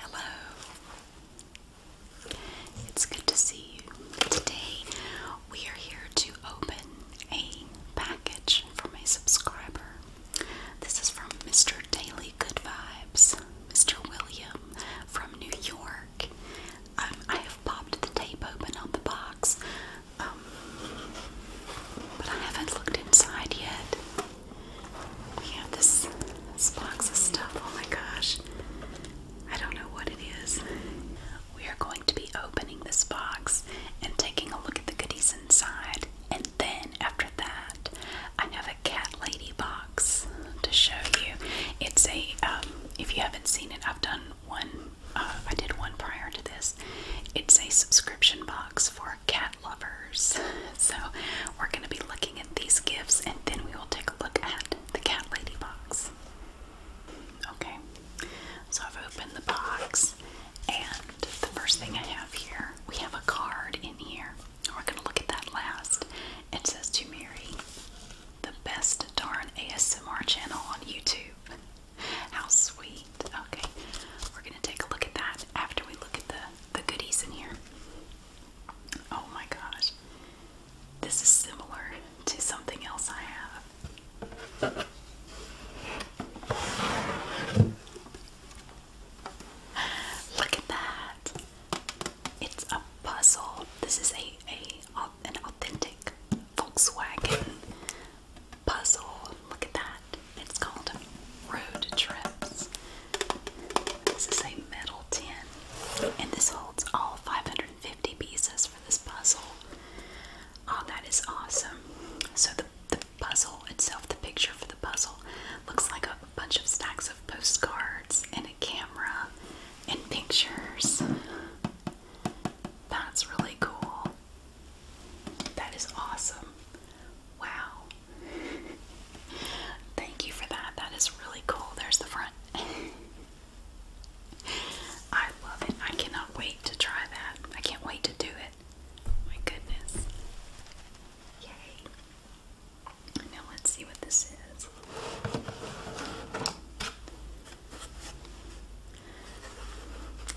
Hello. It's good to see you. Today we are here to open a package from a subscriber. This is from Mr. Daily Good Vibes, Mr. William from New York. Um, I have popped the tape open on the box, um, but I haven't looked inside yet. We have this, box of stuff. Oh my gosh. I don't know what it is. We are going to be opening this box and taking a look at the goodies inside. And then after that, I have a cat lady box to show you. It's a, um, if you haven't seen it, I've done one, uh, I did one prior to this. It's a subscription box for cat lovers. So we're going to be looking at these gifts and then we will take a look at the cat lady box. Okay, so I've opened the box and the first thing I have here, we have a card in here. We're going to look at that last. It says to Mary, the best darn ASMR channel on YouTube. How sweet. Okay, we're going to take a look at that after we look at the the goodies in here. Oh my gosh. This is similar to something else I have. Look at that. It's a puzzle. This is a, a an authentic Volkswagen puzzle. Look at that. It's called Road Trips. This is a metal tin, and this holds all 550 pieces for this puzzle. Oh, that is awesome. So, the, the puzzle itself, the picture for the puzzle, looks like a bunch of stacks of postcards and a camera and pictures. That's really cool. That is awesome. Wow. Thank you for that. That is really cool. There's the front. I love it. I cannot wait to try that. I can't wait to do it. My goodness. Yay. Now let's see what this is.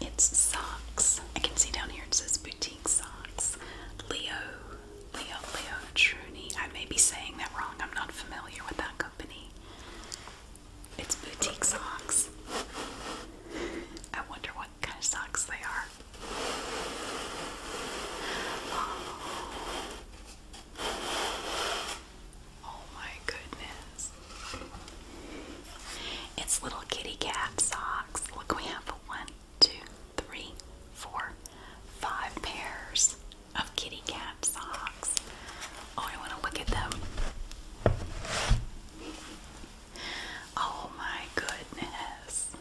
It's socks. I can see down here it says boutique socks. Leo Leo Leo Truni. I may be saying that wrong. I'm not familiar with that company. It's boutique socks. I wonder what kind of socks they are. Oh. oh my goodness. It's little kitty cat socks. Look, we have one, two, three, four, five pairs of kitty cat socks. Oh, I want to look at them. Oh my goodness.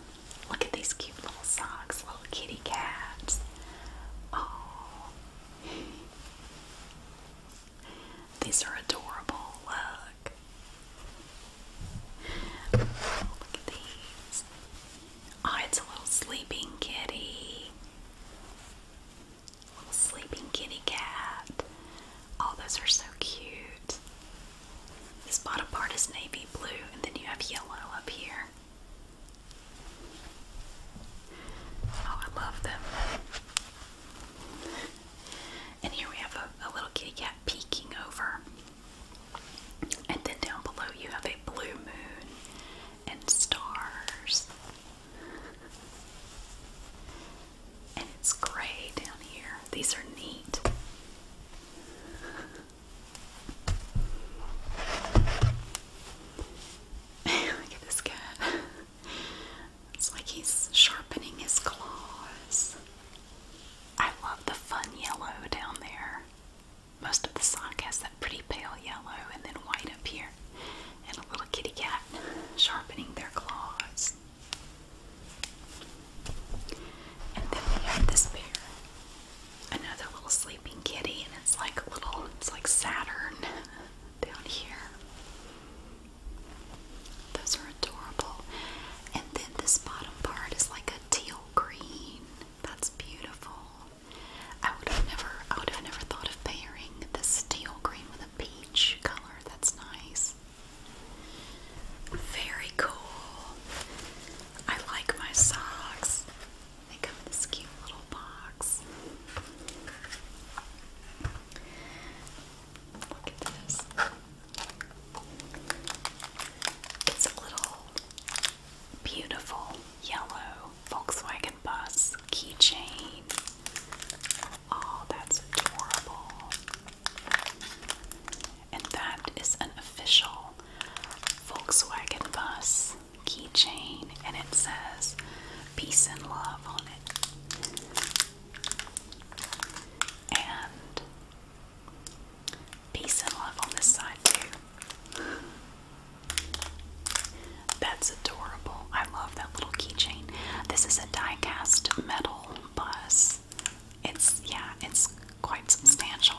Look at these cute little socks, little kitty cats. Oh. These are adorable look. Look at these. Oh, it's a little sleeping kitty. Little sleeping kitty cat. All oh, those are so cute. This bottom part is navy blue, and then you have yellow up here. Oh, I love them. And here we have a little kitty cat peeking over. And then down below you have a blue moon and stars. And it's gray down here. These are neat. Look at this cat. It's like he's sharpening his claws. I love the fun yellow down there. Most of the sock has that pretty pale yellow and then white up here. And a little kitty cat sharpening their claws. And then we have this bear. Another little sleeping kitty, and it's like a little, it's like Saturn down here. Those are adorable. And then this bottom part is like a teal green. That's beautiful. I would have never I would have never thought of pairing this teal green with a peach color. That's nice. Very cool. I like my socks. They come in this cute little box. Look at this. It's a little beautiful yellow Volkswagen bus keychain. Oh, that's adorable. And that is an official Volkswagen bus keychain, and it says peace and love on it. And Peace and love on this side, too. That's adorable. I love that little keychain. This is a die cast metal bus. It's, yeah, it's quite substantial.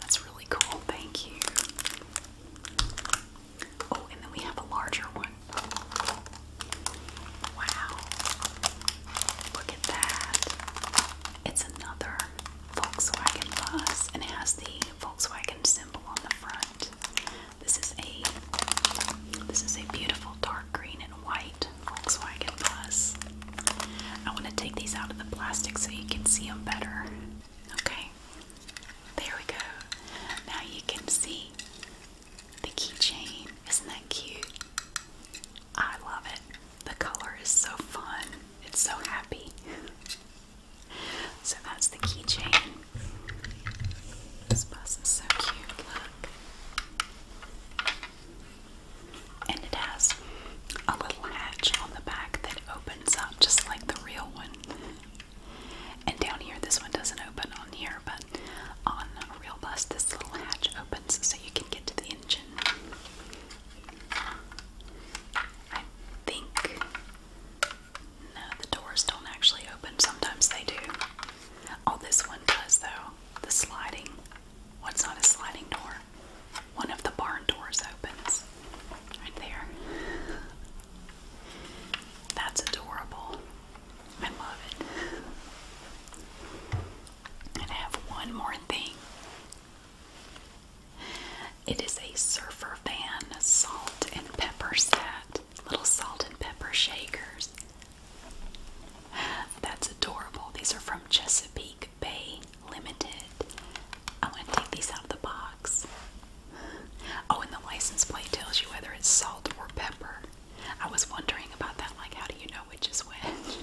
That's really cool. Thank you. Oh, and then we have a larger one. Wow. Look at that. It's another Volkswagen bus and it has the Volkswagen symbol on the front. This is a this is a beautiful dark green and white Volkswagen bus. I want to take these out of the plastic so you can see them better. Okay. There we go. Now you can see the keychain. Isn't that cute? I love it. The color is so fun. It's so happy. So that's the keychain. This bus is so cute. Look. And it has a little hatch on the back that opens up just like the real one. And down here, this one doesn't open on here, but on a real bus, this little hatch opens so you can get to the engine. I think no, the doors don't actually open. Sometimes they do. Oh, this one does though. The sliding. What's well, a sliding door? One of the barn doors opens. Right there. That's adorable. I love it. And I have one more thing. It is a Surfer Van salt and pepper set. Little salt and pepper shakers. That's adorable. These are from Chesapeake Bay Limited. I want to take these out of the box. Oh, and the license plate tells you whether it's salt or pepper. I was wondering about that, like how do you know which is which?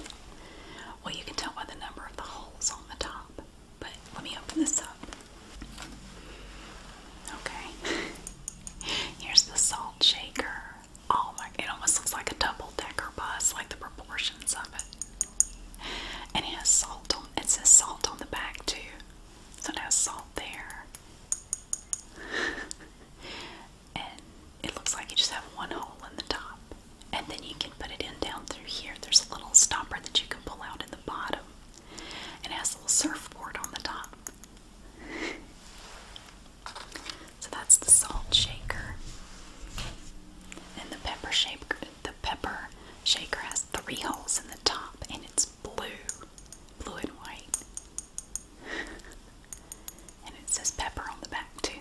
Well, you can tell by the number of the holes on the top. But let me open this up. Okay. Here's the salt shaker. Oh my, it almost looks like a double decker bus, like the proportions of it. And it has salt on, it says salt on the back too. So it has salt there. and it looks like you just have one hole in the top. And then you can put it in down through here. There's a little stopper that you can pull out in the bottom. And has a little surfboard on the top. so that's the salt shaker. And the pepper shaker the pepper shaker has three holes in the top and it's blue. Blue and white. And it says pepper on the back, too.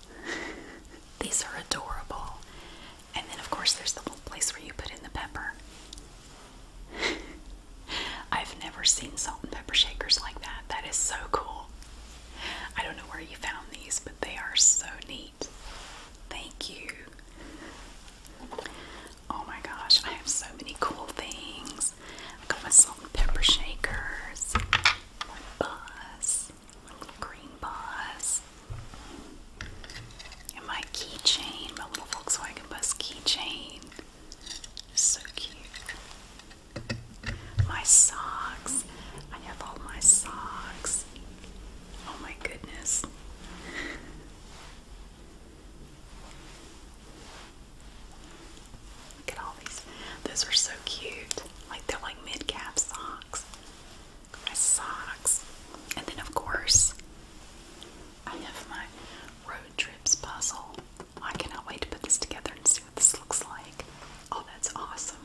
These are adorable. And then, of course, there's the little place where you put in the pepper. I've never seen salt and pepper shakers like that. That is so cool. I don't know where you found these, but they are so neat. Thank you. Oh my gosh, I have so many cool things. I got my salt and pepper shakers, my bus, my little green bus, and my keychain, my little Volkswagen bus keychain. So cute. My socks. I have all my socks. Oh my goodness. Look at all these. Those are so cute. Like they're like mid calf socks. My socks. And then, of course, I have my road trips puzzle. I cannot wait to put this together and see what this looks like. Oh, that's awesome.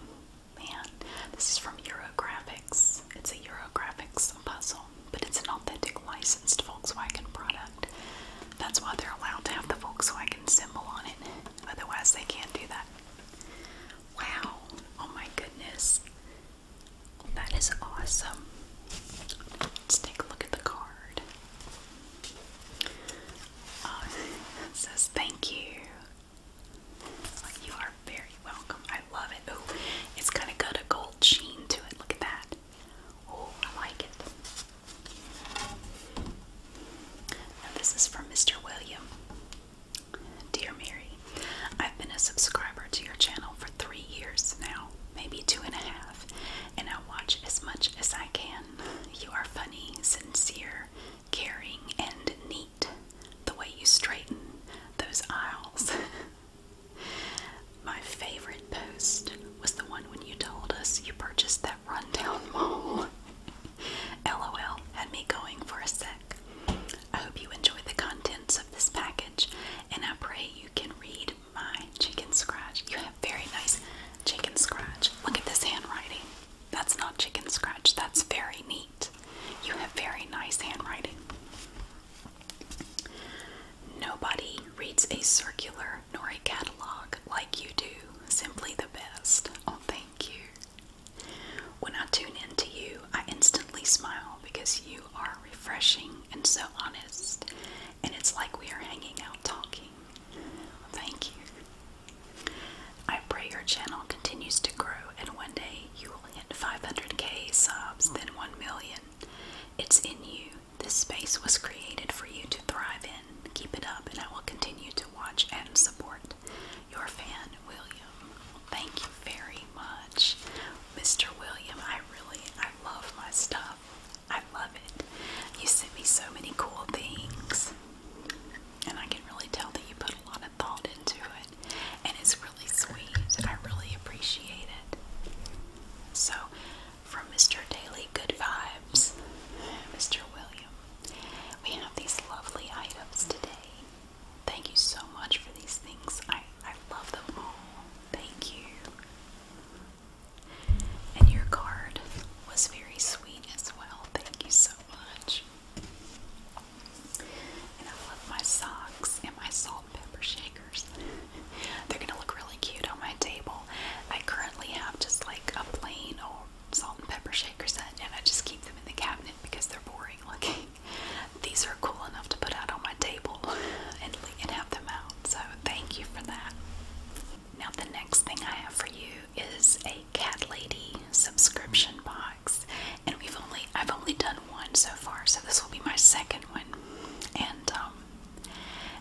Man, this is from Eurographics. It's a Eurographics puzzle, but it's an authentic licensed Volkswagen product. That's why they're allowed to have the so I can symbol on it. Otherwise, they can't do that. Wow! Oh my goodness. That is awesome. Let's take a look at the card. Uh, it says thank you. You are very welcome. I love it. Oh, it's kind of got a gold sheen to it. Look at that. Oh, I like it. this is from Mr. William. Dear Mary, I've been a subscriber to your channel for three years now, maybe two and a half, and I watch as much as I can. You are funny, sincere, caring, and neat. The way you straighten those aisles. My favorite post was the one when you told us you purchased that rundown mall. LOL had me going for a sec. I hope you enjoy the contents of this package and I pray you can read my chicken scratch. You have very nice chicken scratch. Look at this handwriting. That's not chicken scratch, that's very neat. You have very nice handwriting. Nobody reads a circular store nor a catalog like you do. Simply the best. Oh, thank you. When I tune in to you, I instantly smile because you are refreshing and so honest, and it's like we are hanging out talking. Thank you. I pray your channel continues to grow, and one day you will hit 500k subs, then 1 million. It's in you, this space was created for you to thrive in. Keep it up, and I will continue to watch and support. Your fan, William. thank you very much, Mr. William. I really, I love my stuff. I love it. You sent me so many cool things, and I can really tell that you put a lot of thought into it, and it's really sweet. I really appreciate it. So, from Mr. Daily Good Vibes, Mr. William. We have these lovely items today. Thank you so much for these things. I, I love them all. Thank you. And your card was very sweet as well. Thank you so much. And I love my socks and my salt pepper shaker. They're gonna look really cute on my table. I currently have just like a plain old salt and pepper shaker set, and I just keep them in the cabinet because they're boring looking. These are cool enough to put out on my table and, and have them out, so thank you for that. Now, the next thing I have for you is a Cat Lady subscription box, and we've only I've only done one so far, so this will be my second one. And um,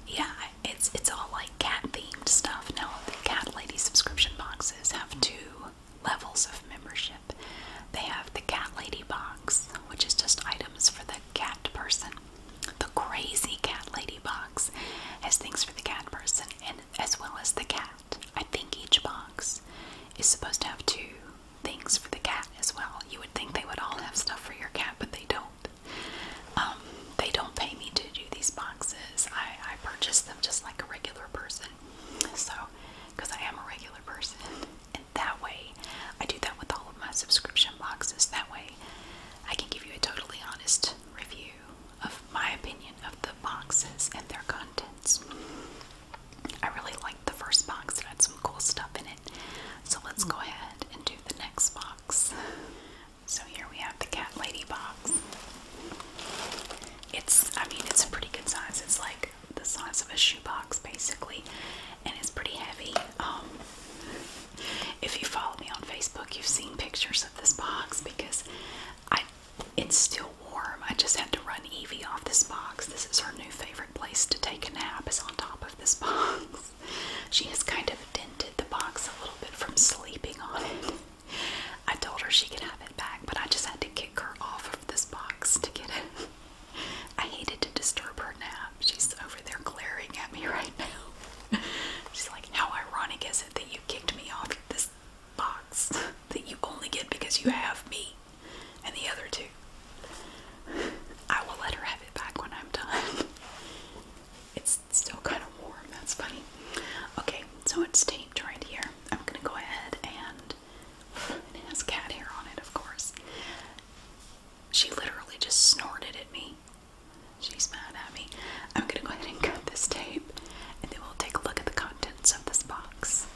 yeah, it's it's all like cat themed stuff. Now the cat lady subscription boxes have mm-hmm. two levels of membership. They have the cat lady box, which is just items for the cat person. The crazy cat lady box has things for the cat person and as well as the cat. I think each box is supposed to have two things for the cat as well. You would think they would all have stuff for your cat, but they don't. Um, they don't pay me to do these boxes. I, I purchase them just like a regular person. So, because I am a regular person, and that way, I do that with all of my subscription boxes. That way, I can give you a totally honest review of my opinion of the boxes and their contents. I really liked the first box, it had some cool stuff in it. So, let's go ahead and do the next box. So here we have the cat lady box. It's, I mean, it's a pretty good size. It's like the size of a shoebox basically, and it's pretty heavy. Um, if you follow me on Facebook, you've seen pictures of this box because I it's still warm. I just had to run Evie off this box. This is her new favorite place to take a nap is on top of this box. She has kind of dented the box a little bit from sleeping on it. I told her she could have it back, but I just had to kick her off of this box to get it. I hated to disturb her nap. She's over there glaring at me right now. She's like, How ironic is it that you kicked me off this box that you only get because you have me and the other two? I will let her have it back when I'm done. It's still kind of warm, that's funny. Okay, so it's taped right here. I'm gonna go ahead and, it has cat hair on it, of course. She literally just snorted at me. She's mad at me. I'm gonna go ahead and cut this tape and then we'll take a look at the contents of this box.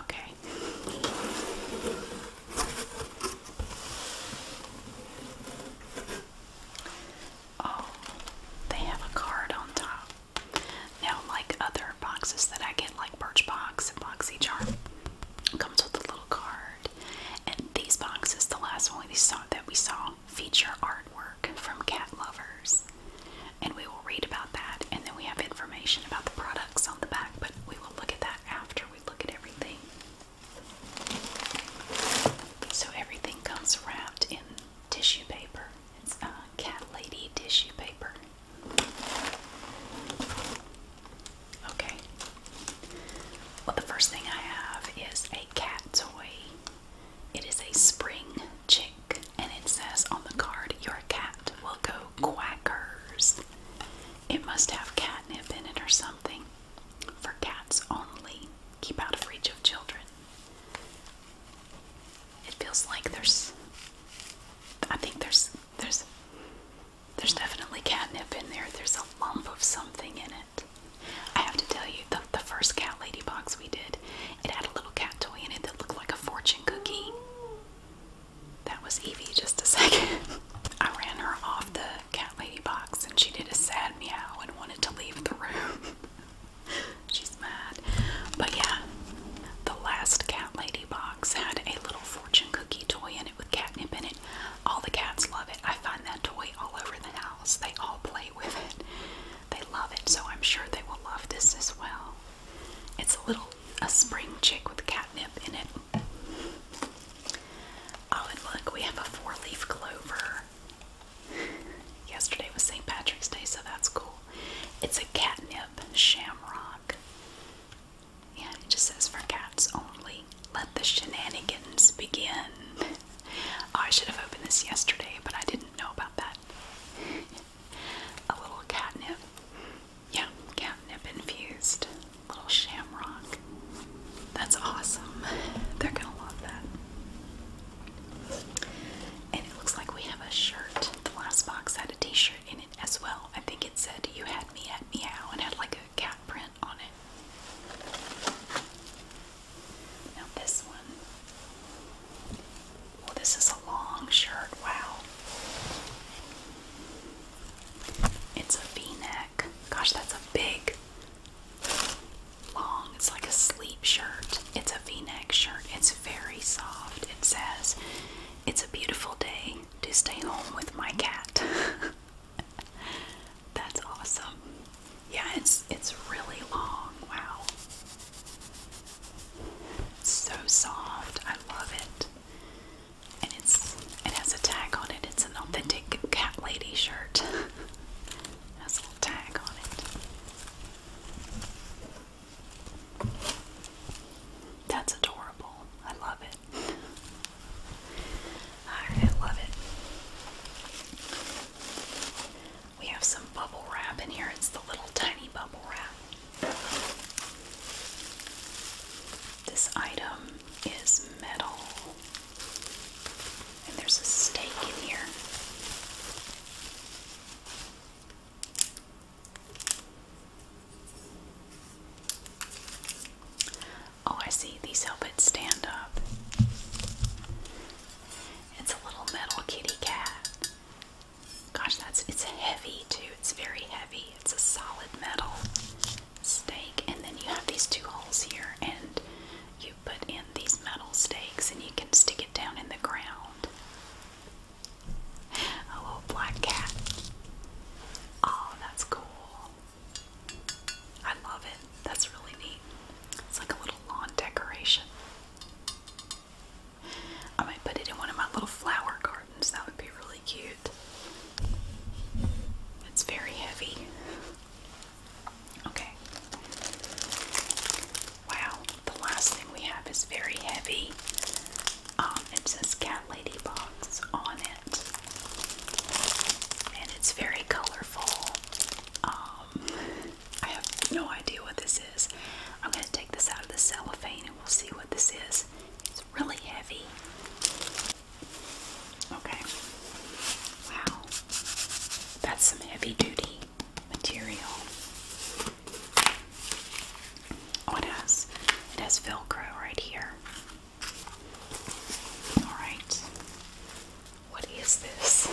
Okay, sorry. Oh, they have a card on top. Now, like other boxes that I get, like Birchbox and BoxyCharm, comes with a little card. And these boxes, the last one we saw that we saw, feature artwork from cat lovers. And we will read about that, and then we have information about the products on the back, but we will look at that after we look at everything. So everything comes wrapped in tissue paper. It's a uh, Cat Lady tissue paper. Okay. Well, the first thing I have is a cat toy. It is a spring chick, and it says on the card, Your cat will go quackers. It must have catnip in it or something. For cats only. Keep out of reach of children. It feels like there's I think there's there's there's definitely catnip in there. There's a lump of something in it. I have to tell you, the, the first cat lady box we did, it had a little cat toy in it that looked like a fortune cookie. That was Evie just a second. I ran her off the cat lady box and she did a sad meow and wanted to leave the room. She's mad. But yeah, the last cat lady box had a little fortune cookie toy in it with catnip in it. All the cats love it. I find that toy all over the house. They all play with it. They love it, so I'm sure they will love this as well. It's a little a spring chick with catnip in it. Oh, and look, we have a four leaf clover. Yesterday was St. Patrick's Day, so that's cool. It's a catnip shamrock. Yeah, it just says for cats only. Let the shenanigans begin. Oh, I should have opened this yesterday, but I didn't know about that. a little catnip. Yeah, catnip infused little shamrock. That's awesome. They're gonna love that. And it looks like we have a shirt. The last box had a t-shirt in it as well. I think it said you had me at meow and had like a cat print on it. Now this one. Well, this is a long shirt. Wow. It's a v-neck. Gosh, that's a big, long, it's like a sleep shirt. It's a v-neck shirt. It's very soft. It says, It's a beautiful day to stay home with my cat. that's awesome. Yeah, it's it's really long. Wow. so soft. I love it and it's it has a tag on it. It's an authentic cat lady shirt. has a little tag on it. That's adorable. I love it. I love it. We have some bubble wrap in here. It's the little tiny bubble wrap. This item is metal, and there's a stake in here. Oh, I see, these help it stand up. It's a little metal kitty cat. Gosh, that's it's heavy too. It's very heavy. It's a solid metal stake, and then you have these two holes here, and you put in these metal stakes, and you can stick it down in the ground. A little black cat. Oh, that's cool. I love it. That's really neat. It's like a little lawn decoration. I might put it in one of my little flower gardens. That would be really cute. It's very heavy. Okay. Wow, the last thing we have is very heavy. Um, it says Cat Lady Box on it. And it's very colorful. Um, I have no idea what this is. I'm going to take this out of the cellophane and we'll see what this is. It's really heavy. Okay. Wow. That's some heavy duty material. Oh, it has it has Velcro right here. Alright. What is this?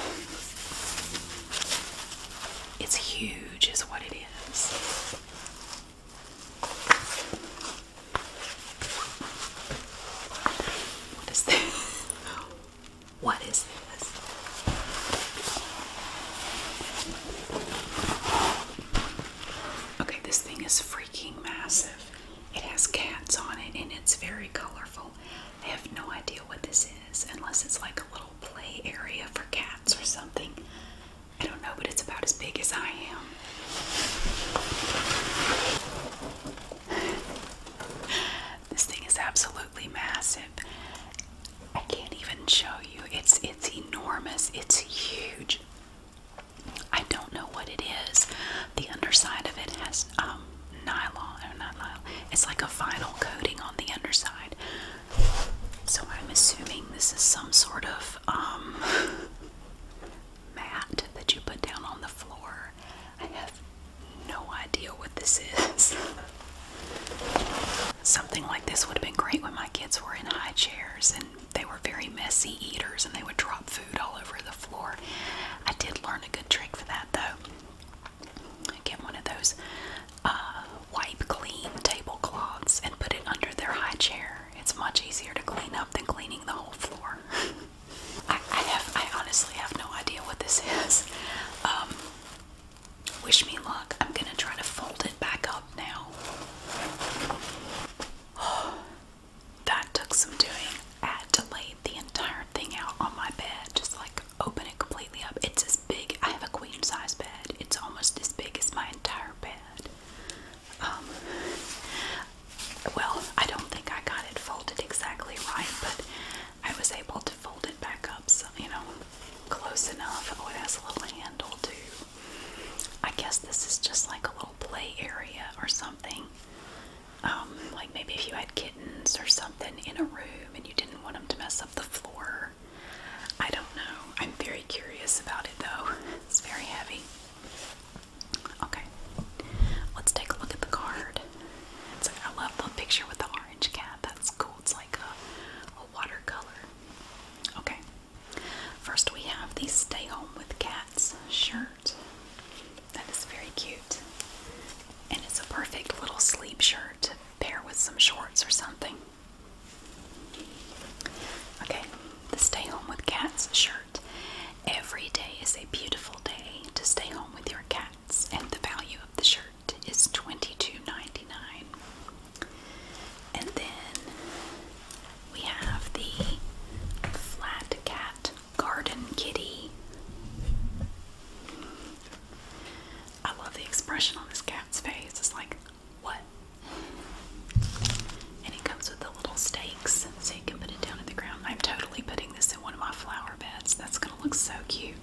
It's huge is what it is. What is this? What is this? Okay, this thing is freaking massive. It has cats on it and it's very colorful. I have no idea what this is unless it's like a little play area for cats or something. I don't know, but it's about as big as I am. This thing is absolutely massive. I can't even show you. It's it's enormous. It's huge. I don't know what it is. The underside of it has um, nylon or not nylon. It's like a vinyl coating on the underside. So I'm assuming this is some sort of um, mat that you put down on the floor. I have no idea what this is. Something like this would have been great when my kids were in high chairs and they were very messy eaters and they would drop food all over the floor. I did learn a good trick for that though. I get one of those uh, wipe clean tablecloths and put it under their high chair. It's much easier to clean up than cleaning the whole floor. I, have, I honestly have no idea what this is. Um, wish me luck. I'm gonna try to fold it back up now. that took some doing. I had to lay the entire thing out on my bed, just like open it completely up. It's as big. I have a queen size bed. It's almost as big as mine. Um, well, I don't think I got it folded exactly right, but I was able to fold it back up, so, you know, close enough. Oh, it has a little handle too. I guess this is just like a little play area or something. Um, like maybe if you had kittens or something in a room and you didn't want them to mess up the floor I don't know. I'm very curious about it though. It's very heavy. Okay, let's take a look at the card. I love the picture with the orange cat. That's cool. It's like a, a watercolor. Okay, first we have the Stay Home with Cats shirt. That is very cute. And it's a perfect little sleep shirt to pair with some shorts or something. Okay, the Stay Home with Cats shirt. Every day is a beautiful day to stay home with your cats, and the value of the shirt is $22.99. And then we have the Flat Cat Garden Kitty. I love the expression on this cat's face. It's like, what? And it comes with the little stakes so you can put it down in the ground. I'm totally putting this in one of my flower beds. That's going to look so cute.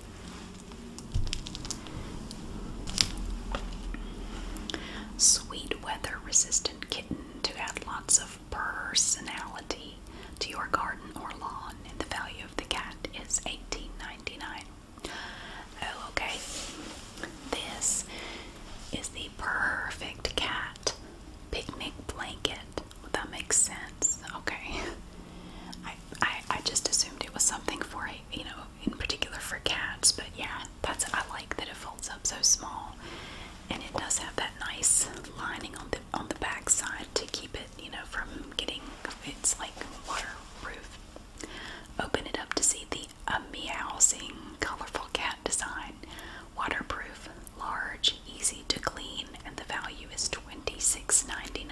Sweet weather resistant kitten to add lots of personality to your garden or lawn. And the value of the cat is $18.99. Oh, okay. This is the perfect cat picnic blanket. that makes sense. Okay. I, I just assumed it was something for a you know in particular for cats, but yeah, that's I like that it folds up so small, and it does have that nice lining on the on the back side to keep it you know from getting it's like waterproof Open it up to see the a meowsing, colorful cat design. Waterproof, large, easy to clean, and the value is $26.99.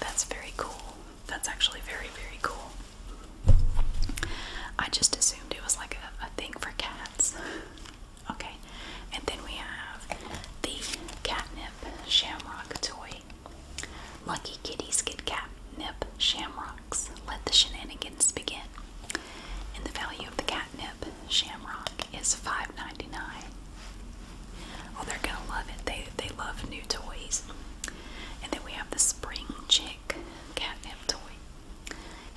That's very cool. That's actually very, very cool. I just assumed it was like a, a thing for cats. Okay, and then we have the catnip shamrock toy. Lucky Kitty, Skid Cap, Nip, Shamrocks. Let the shenanigans begin. And the value of the catnip shamrock is five ninety nine. dollars Oh, they're gonna love it. They they love new toys. And then we have the spring chick catnip toy.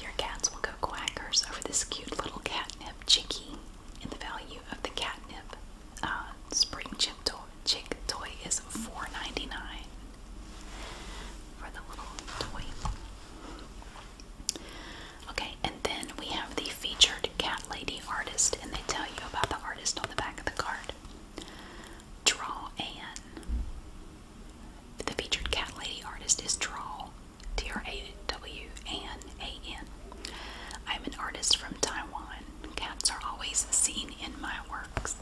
Your cats will go quackers over this cute little catnip chickie and the value of the catnip uh, spring chip toy, is $4.99 for the little toy. Okay, and then we have the featured cat lady artist, and they tell you about the artist on the back of the card. Draw Ann. The featured cat lady artist is Draw, D R A W A N A N. I am an artist from Taiwan. Cats are always seen in my works.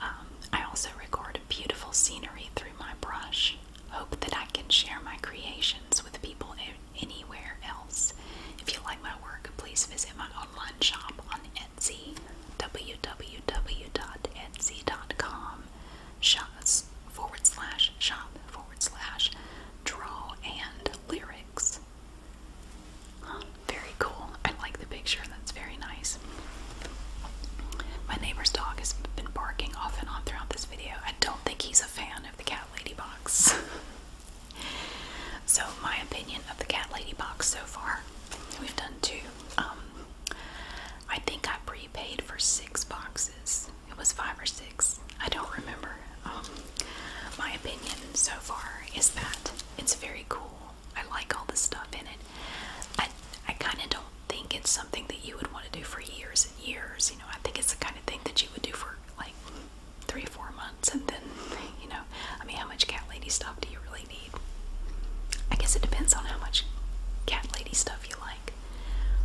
Um, I also record beautiful scenery through my brush. Hope that I can share my creations with people anywhere else. If you like my work, please visit my online shop on Etsy, www.etsy.com forward slash shop forward slash draw and lyrics very cool. I like the picture. That's very nice. My neighbor's dog has been barking off and on throughout this video. I don't think he's a fan of the cat lady box. so my opinion of the cat lady box so far, we've done two. Um, I think I prepaid for six boxes. It was five or six. I don't remember. Um, my opinion so far is that it's very cool. I like all the stuff in it. I I kind of don't think it's something that you would want to do for years and years. You know, I think it's the kind of thing that you would do for like three four months, and then you know, I mean, how much cat lady stuff do you really need? I guess it depends on how much cat lady stuff you like.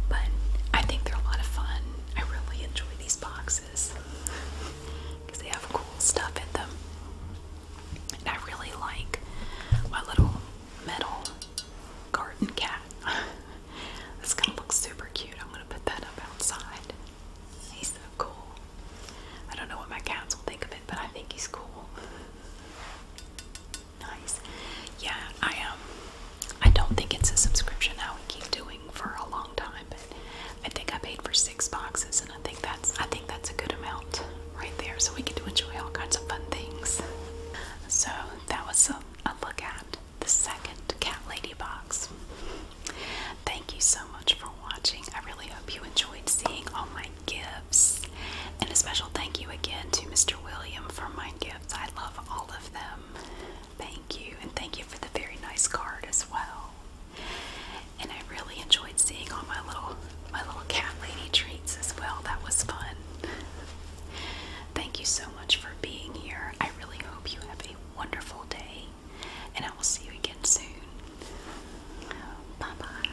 But I think they're a lot of fun. I really enjoy these boxes because they have cool stuff in them. And I really like my little metal garden cat. That's gonna look super cute. I'm gonna put that up outside. He's so cool. I don't know what my cats will think of it, but I think he's cool. Nice. Yeah, I am. Um, I don't think it's a subscription how we keep doing for a long time, but I think I paid for six boxes and I think that's I think that's a good amount right there. So we get to enjoy all kinds of fun things. So that was a look at the second cat lady box. Thank you so much for watching. I really hope you enjoyed seeing all my gifts. And a special thank you again to Mr. William for my gifts. I love all of them. Thank you, and thank you for the very nice card as well. And I really enjoyed seeing all my little my little cat lady treats as well. That was fun. thank you so much for being here. I really hope you have a wonderful day, and I will see you again soon. Bye bye.